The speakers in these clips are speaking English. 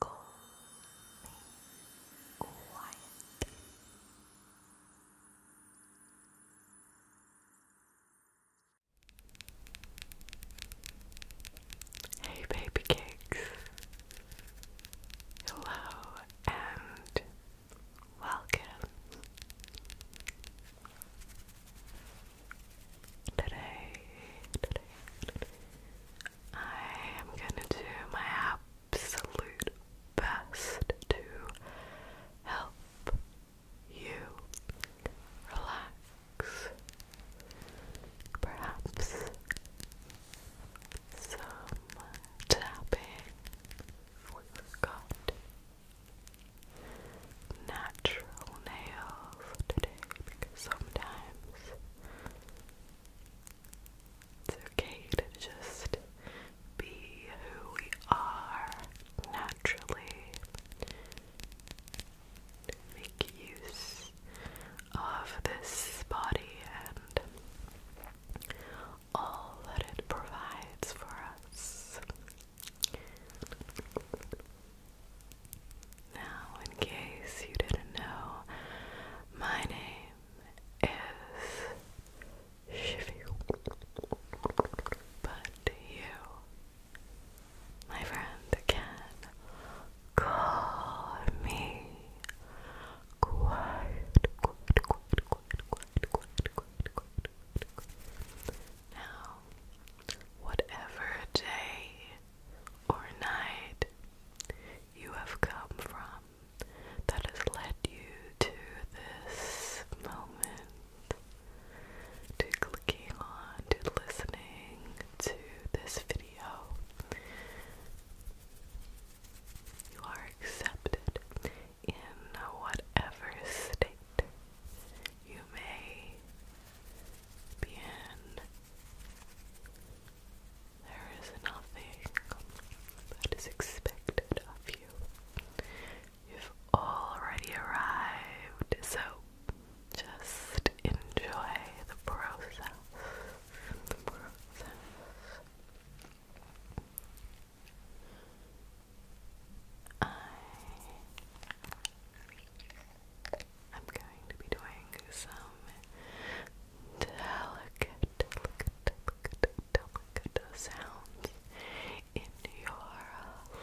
Go Hey, baby cakes. Hello and welcome. Today, today, today I am gonna do my absolute best to help you relax. Perhaps some tapping we natural nails today sometimes it's okay to just be who we are naturally. Make use of this body and all that it provides for us. Now, in case you didn't know, my name is Shifu. But you, my friend, can call me quiet, quiet, quiet, quiet, quiet, quiet, quiet, quiet. Now, whatever day or night you have come from that has led you to this moment, to clicking on, to listening to this video. You are accepted in whatever state you may be in. There is nothing that is expected of you. You've already arrived, so just enjoy the process. I'm going to be doing some delicate, delicate, delicate, sounds in your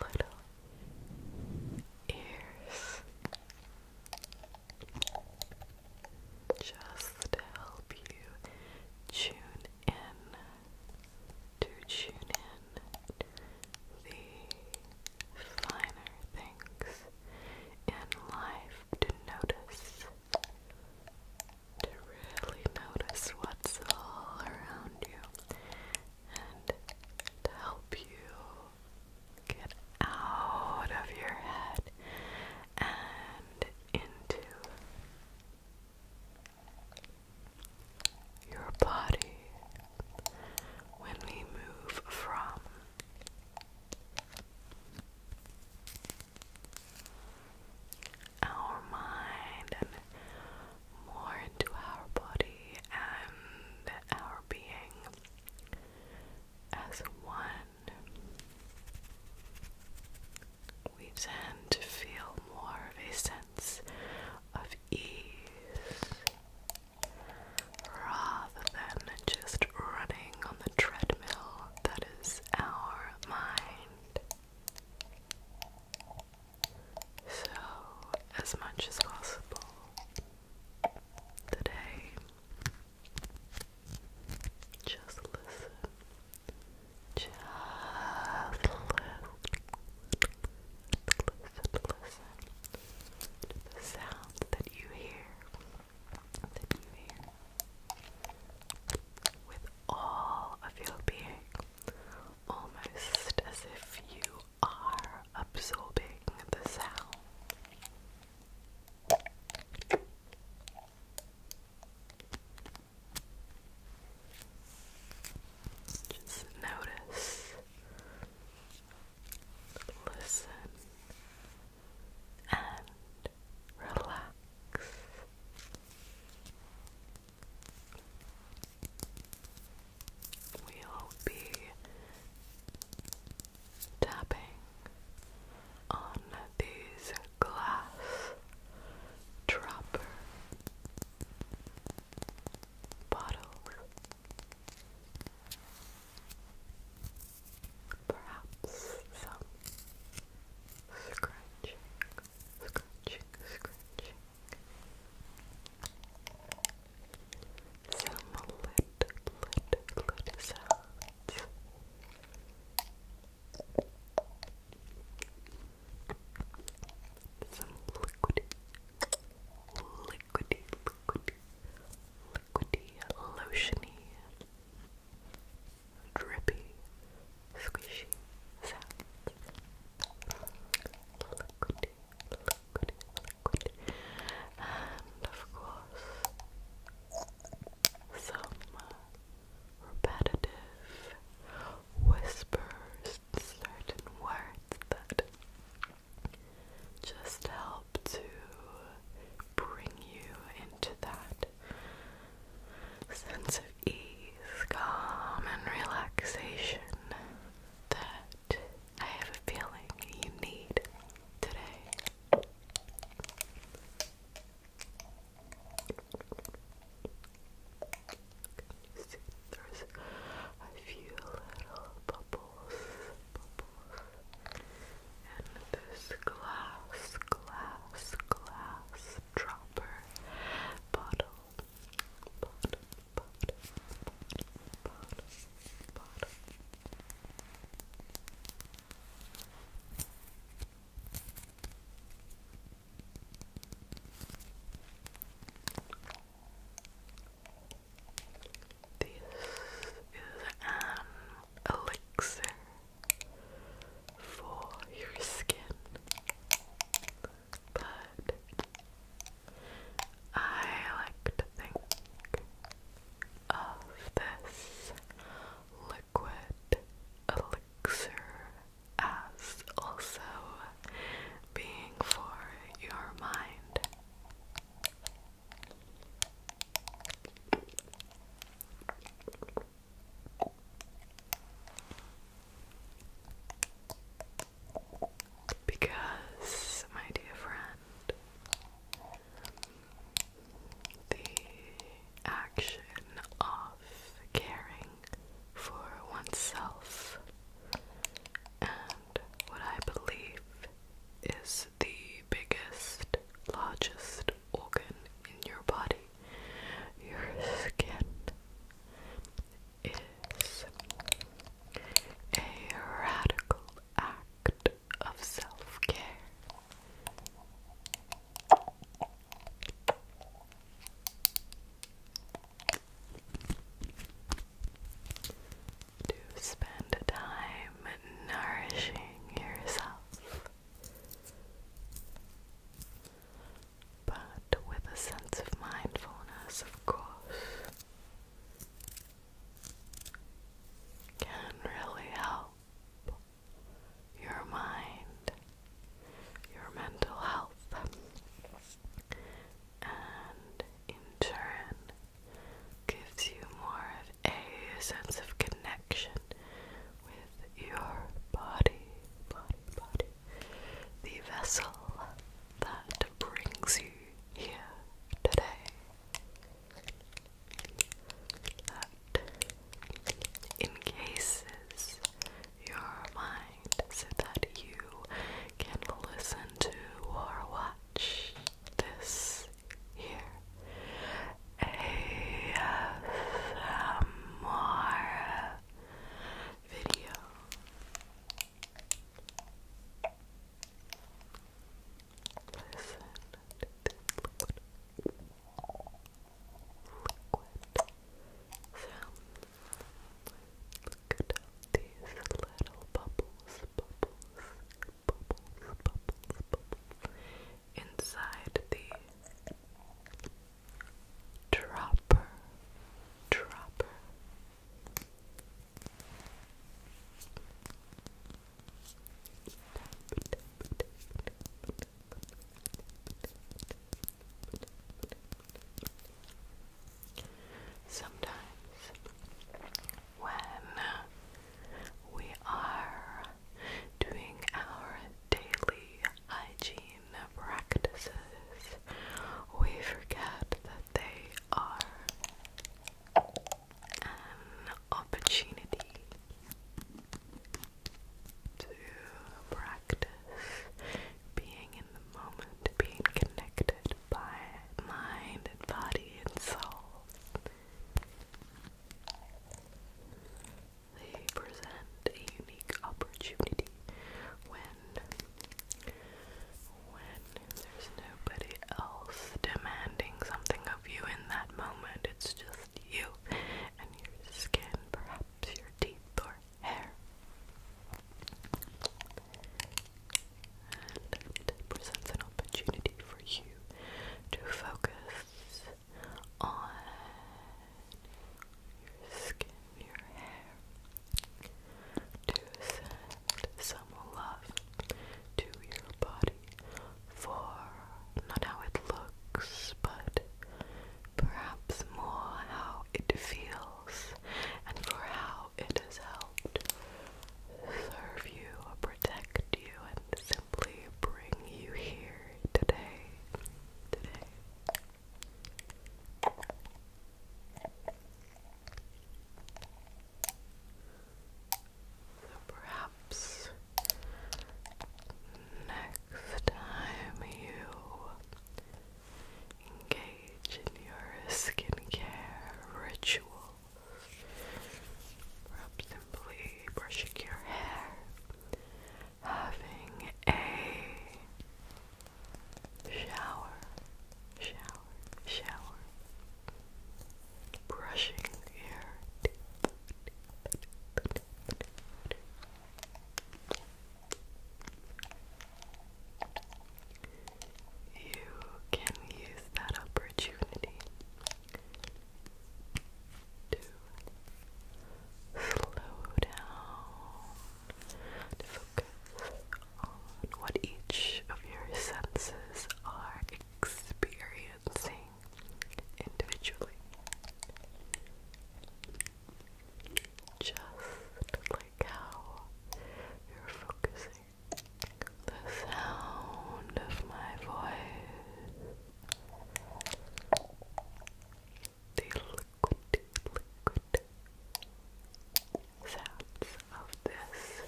little ears. Just to help you tune in, to tune in the finer things in life to notice. To really notice what's all around you and to help you get out of your head and into your body. When we move from our mind and more into our body and our being as one. We tend to feel more of a sense of ease rather than just running on the treadmill that is our mind. So, as much as possible today, just listen. Just listen. Listen, listen to the sounds that you hear the with all of your being, almost as if you are absorbing the sound. Just notice, listen, and relax. We'll be tapping on these glass dropper bottles perhaps some scratching, scratching, scratching, some lid, lid, lid sounds. Some liquidy, liquidy, liquidy, liquidy, lotiony drippy, squishy sounds. Liquidy, liquidy, liquidy. And of course, some uh, repetitive whispers, certain words that just help to bring you into that sense of ease, calm, and relaxation that I have a feeling you need today. See, there's a few little bubbles, and this glass, glass, glass dropper bottle, bottle, bottle, bottle, bottle. This is an elixir for your skin, but I like to think of this liquid elixir as also being for your mind. Because, my dear friend, the action of caring for oneself and what I believe is the biggest, largest organ in your body. Your skin is a radical act of self care. To spend time and nourishing yourself, but with a sense of mindfulness, of course, can really help your mind, your mental health, and in turn gives you more of a sense of connection connection with your body, the vessel that brings you here today, that encases your mind so that you can listen to or watch this here. ASMR video. Listen to the sounds. Look at these little bubbles, bubbles, inside the dropper, dropper. Sometimes when we are doing our daily hygiene practices. We forget that they are an opportunity to practice being in the moment, being connected by mind and body and soul. They present a unique opportunity when when there's nobody else demanding something of you in that moment. It's just you and your skin, perhaps your teeth or hair. And it presents an opportunity for you to focus on your skin, your hair, to send some love to your body for not how it looks, but perhaps more how it feels and for how it has helped serve you or protect and simply bring you here today. Today. perhaps next time you engage in your skincare rituals, perhaps brushing your hair, having a shower, shower, shower, brushing your teeth. You can use that opportunity to slow down, focus on what each of your senses are experiencing individually. Just like how you're focusing the sound of my voice the liquid, liquid sounds of this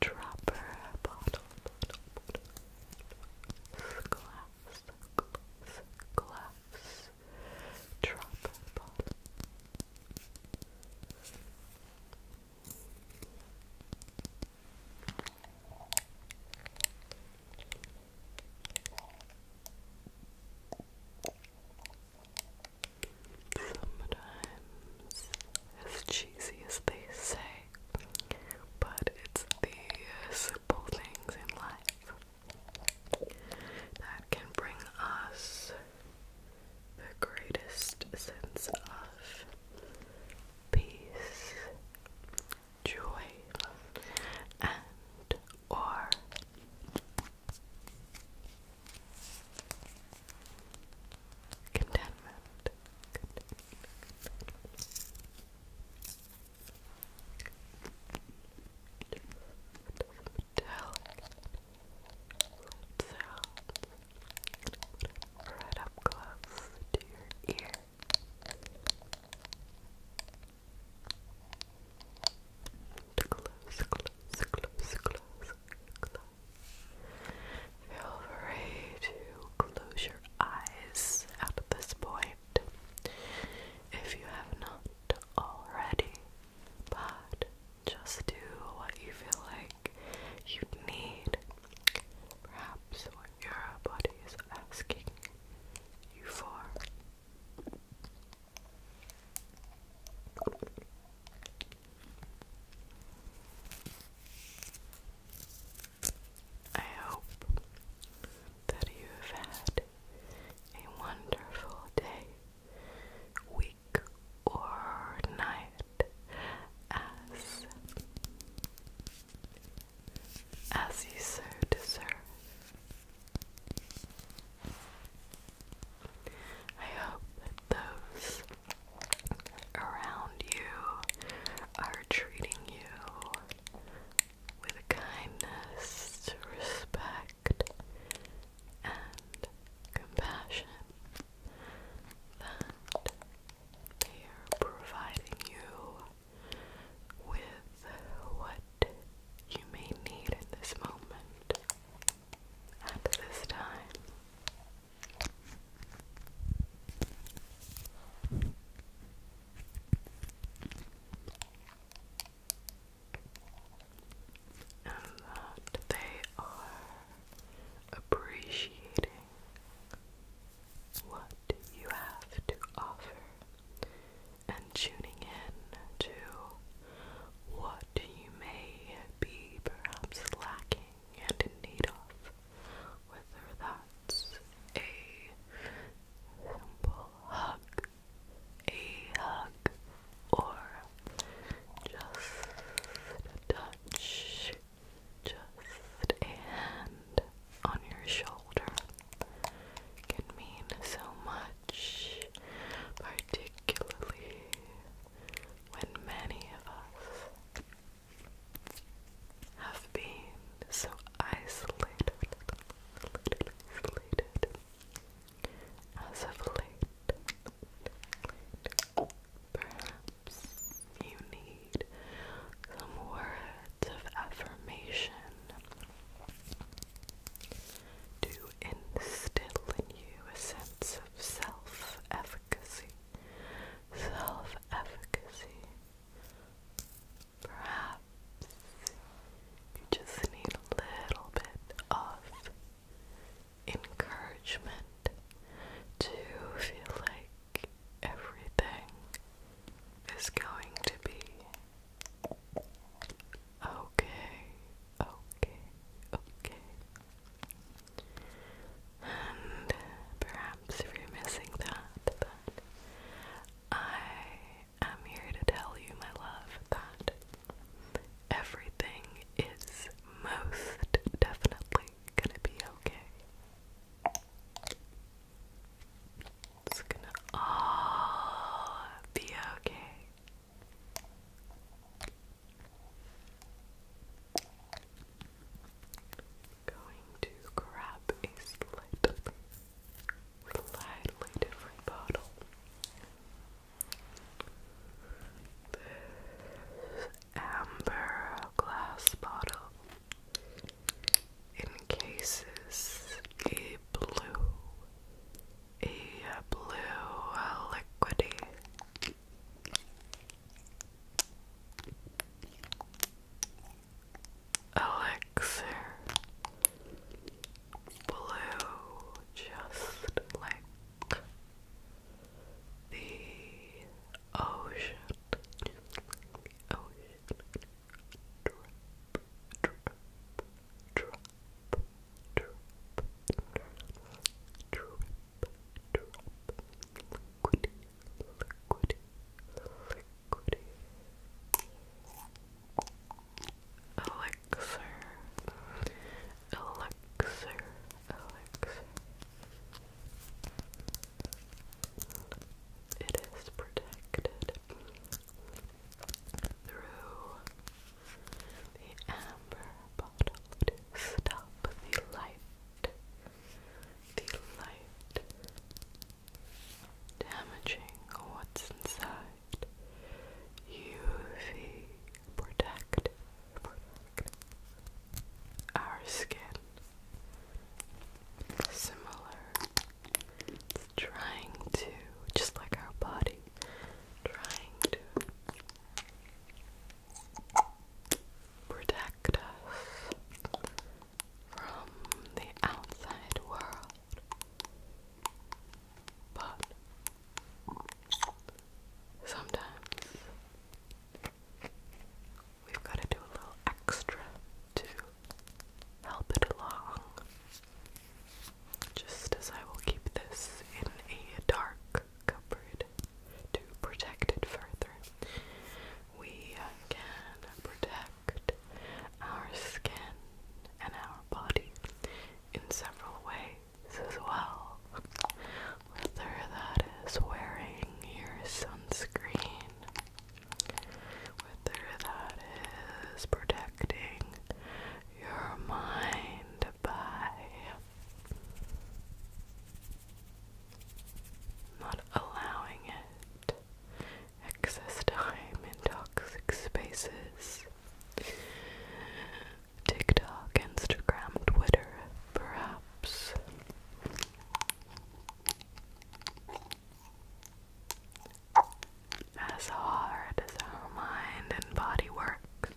dropper bottle, glass, glass, dropper bottle. Sometimes, as cheesy as they say, but it's the simple things in life that can bring us the greatest sense of peace, joy, and or contentment. contentment, contentment. Right up close to your ear. Close, close, close, close, close. Feel free to close your eyes at this point if you have not already, but just do what you feel like you need Perhaps your body is asking you for. I hope that you have had a wonderful day, week, or night as as you so deserve. I hope that those around you are treating you with kindness, respect, and compassion that they are providing you with what you may need in this moment at this time. And that they are appreciating what you have to offer and tuning in to what you may be perhaps lacking and in need of, whether that's a simple hug, a hug, or just a touch just a hand on your shoulder can mean so much, particularly when many of us have been so isolated, as of late. Perhaps you need some words of affirmation to instill in you a sense of self efficacy, self efficacy. Perhaps you just need a little bit of encouragement to feel like everything is going to be okay, okay, okay. And perhaps if you're missing that, I am here to tell you, my love, that everything is most definitely gonna be okay. It's gonna all be okay. Going to grab a slightly, slightly different bottle. amber glass bottle encases a blue, a blue liquidy. Elixir blue, just like the ocean, just like the ocean drip, drip, drip, drip, drip, drip, liquidy, liquidy, liquidy. Elixir, elixir, elixir. It is protected through the amber bottle stop the light, the light damaging what's inside. UV protect our skin. Similar it's trying to, just like our body, trying to protect us from the outside world. But sometimes we've got to do a little extra to help it along. Just as I will keep this in a dark cupboard to protect it further, we uh, can protect our skin and our body in several ways as well. Whether that is wearing your sunscreen whether that is protecting your mind by not allowing it excess time in toxic spaces. TikTok, Instagram, Twitter, perhaps. As hard as our mind and body works,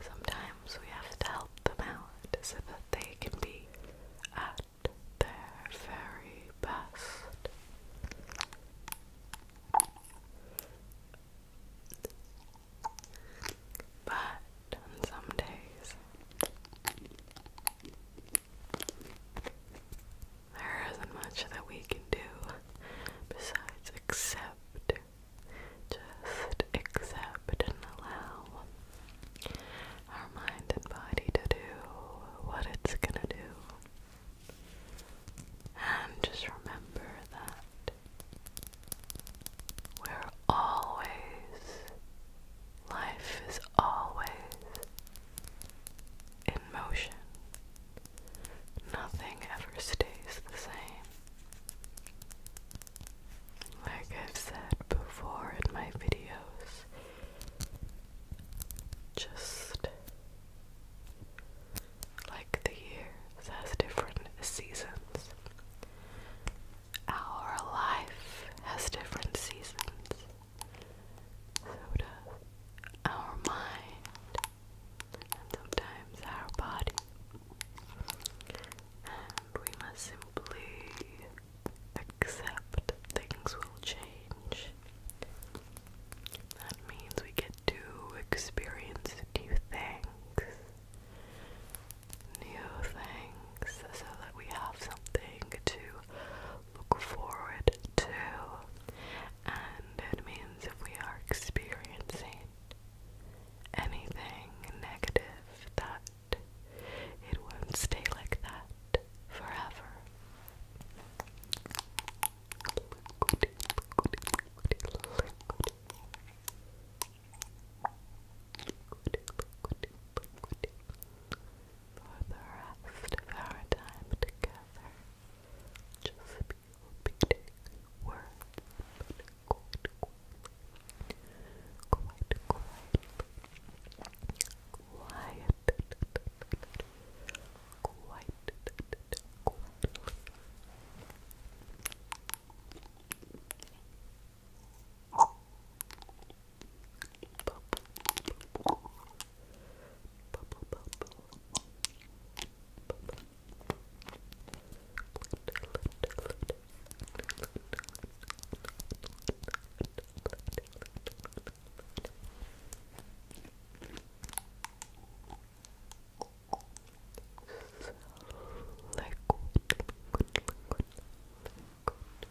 sometimes we have to help them out so that they can be at their very best. But some days, there isn't much that we can do besides accept. Just accept and allow our mind and body to do what it's gonna do. And just remember that we're always Life is always in motion. Nothing ever stays the same. Like I've said before in my videos, just like the years has different seasons. Our life has different seasons. So does our mind, and sometimes our body. And we must simply accept things will change. That means we get to experience new things. New things so that we have something to look forward to. And it means if we are experiencing anything negative, that it won't stay like that forever for the rest of our time together. Just be words, but quite quietly. Quite quietly. Quiet. Bubble. Bubble, bubble. Bubble. Liquid, liquid, liquid, liquid,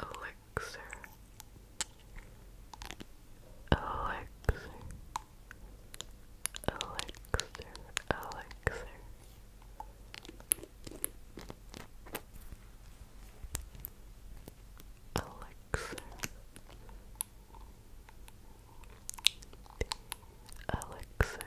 Elixir. Elixir. Elixir. Elixir. Elixir. The elixir.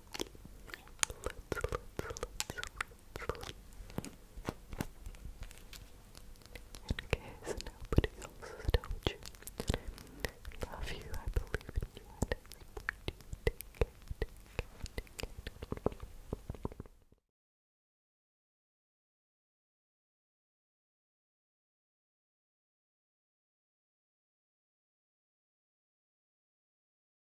In case nobody else has told you, love you, I believe in you,